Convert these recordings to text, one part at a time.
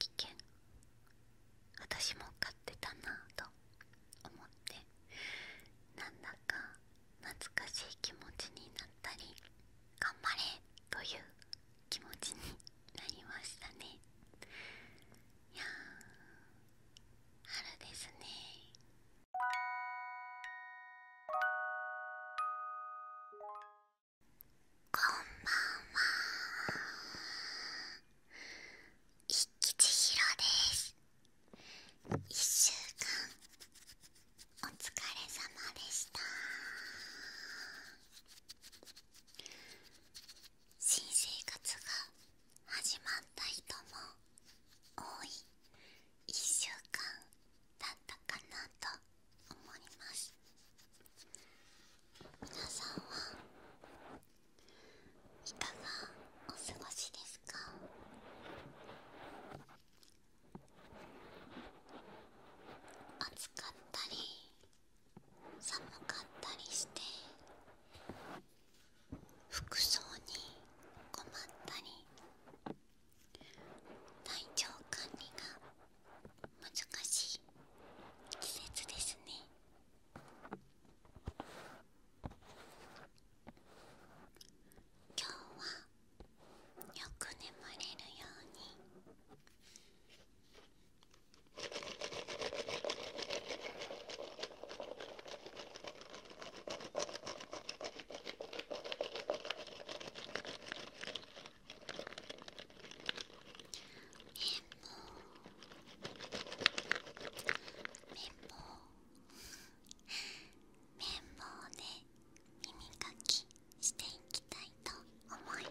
気券私も買ってたなぁと思ってなんだか懐かしい気持ちになったり頑張れという気持ちになりましたねいや春ですねこんばんは一吉ひろです一週間お疲れ様でした新生活が始まった人も多い1週間だったかなと思います皆さんはいかがお過ごしですか暑かったり寒かったりして服装に困ったり体調管理が難しい季節ですね今日はよく眠れるように綿棒綿棒綿棒で耳かきしていきたいと思います。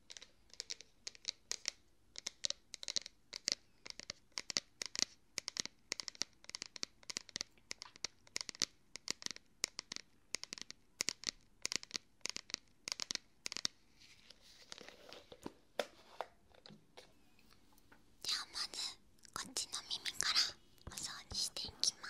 では、まずこっちの耳からお掃除していきます。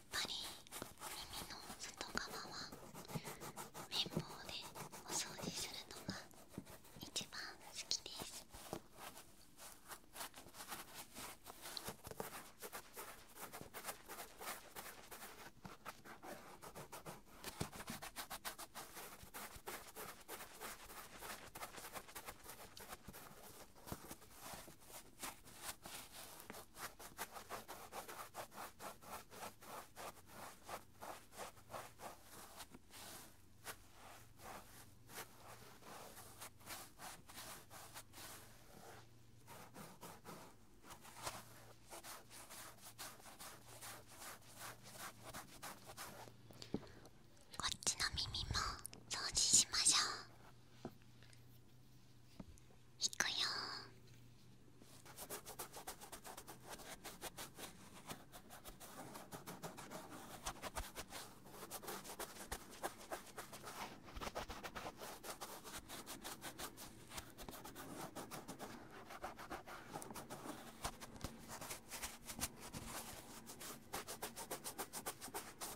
やっぱり耳の外側は綿棒でお掃除するのが一番好きですこっちの耳も掃除しましょういくよ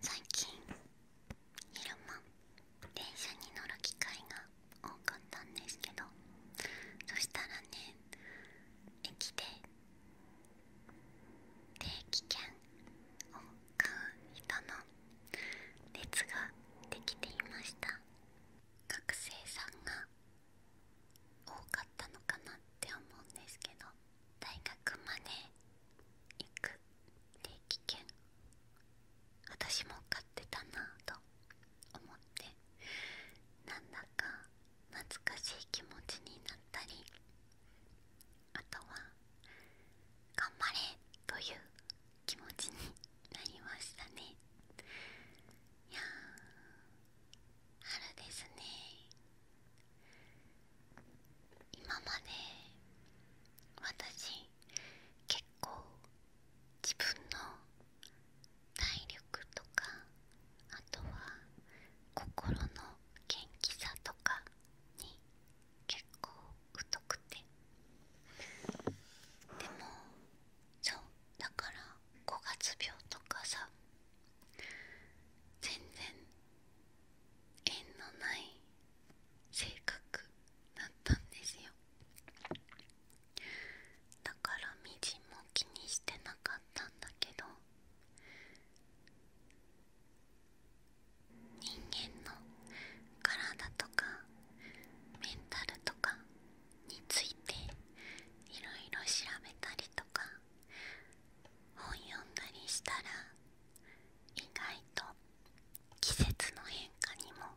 最近昼間電車に乗る機会が多かったんですけどそしたらね駅で定期券を買う人の列ができていました学生さんが多かったのかなって思うんですけど大学まで行く定期券私も買ってたなぁと思ってなんだか懐かしい気持ちになったりあとは頑張れという気持ちになりましたねいやあれですね今まで私結構自分の体力とかあとは心の元気さとかに結構太くてでもそうだから5月病とかさ全然縁のない性格だったんですよだからみじんも気にしてなかったんだけど人間の体とかメンタルとかについていろいろ調べたりとか本読んだりしたら意外と季節の変化にも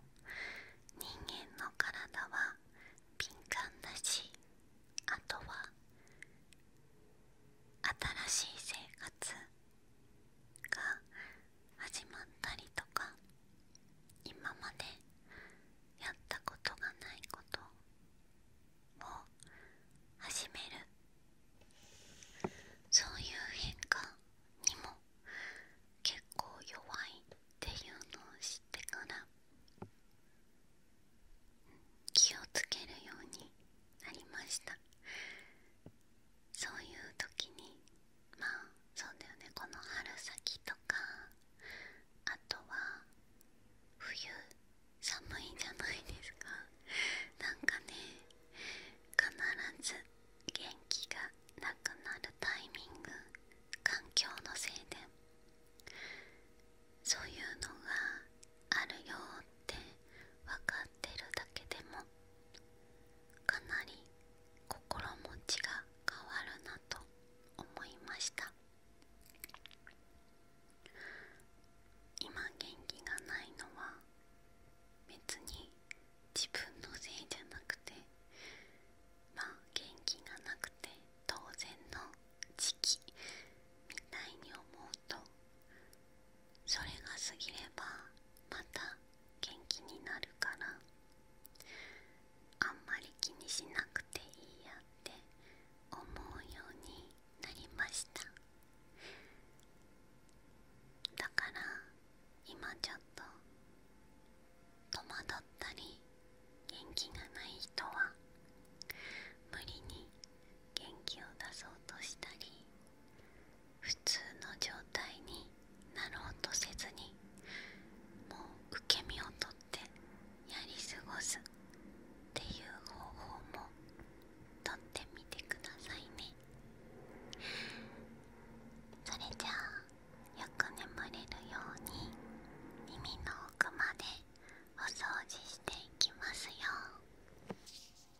人間の体は敏感だしあとは新しい生活が始まったりとか今までやったことがないことを始めるそういう変化にも結構弱いっていうのを知ってから気をつけるようになりましたそういう時にまあそうだよねこの春先とかあとは冬寒いじゃないですかなんかね必ず元気がなくなるタイミング環境のせいでそういうのがあるよって分かってるだけでもかなり心持ちが変わるなと思いました今元気がないのは別に自分のせいじゃなくてまあ元気がなくて当然の時期みたいに思うとそれが過ぎればまた元気になるからあんまり気にしなくていいやって思うようになりましただから今ちょっと戸惑ったり元気がない人は無理に元気を出そうとしたり普通の状態になろうとせずにもう受け身をとってやり過ごすっていう方法もとってみてくださいねそれじゃあよく眠れるように耳の奥までお掃除していきますよ。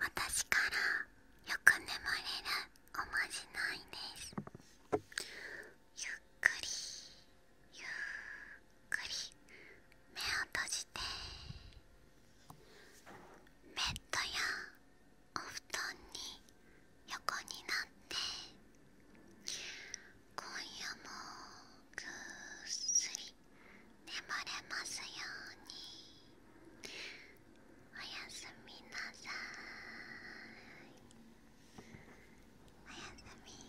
私からよく眠れるおまじないですゆっくりゆっくり目を閉じてベッドやお布団に横になって今夜もぐっすり眠れますようにおやすみなさいおやすみ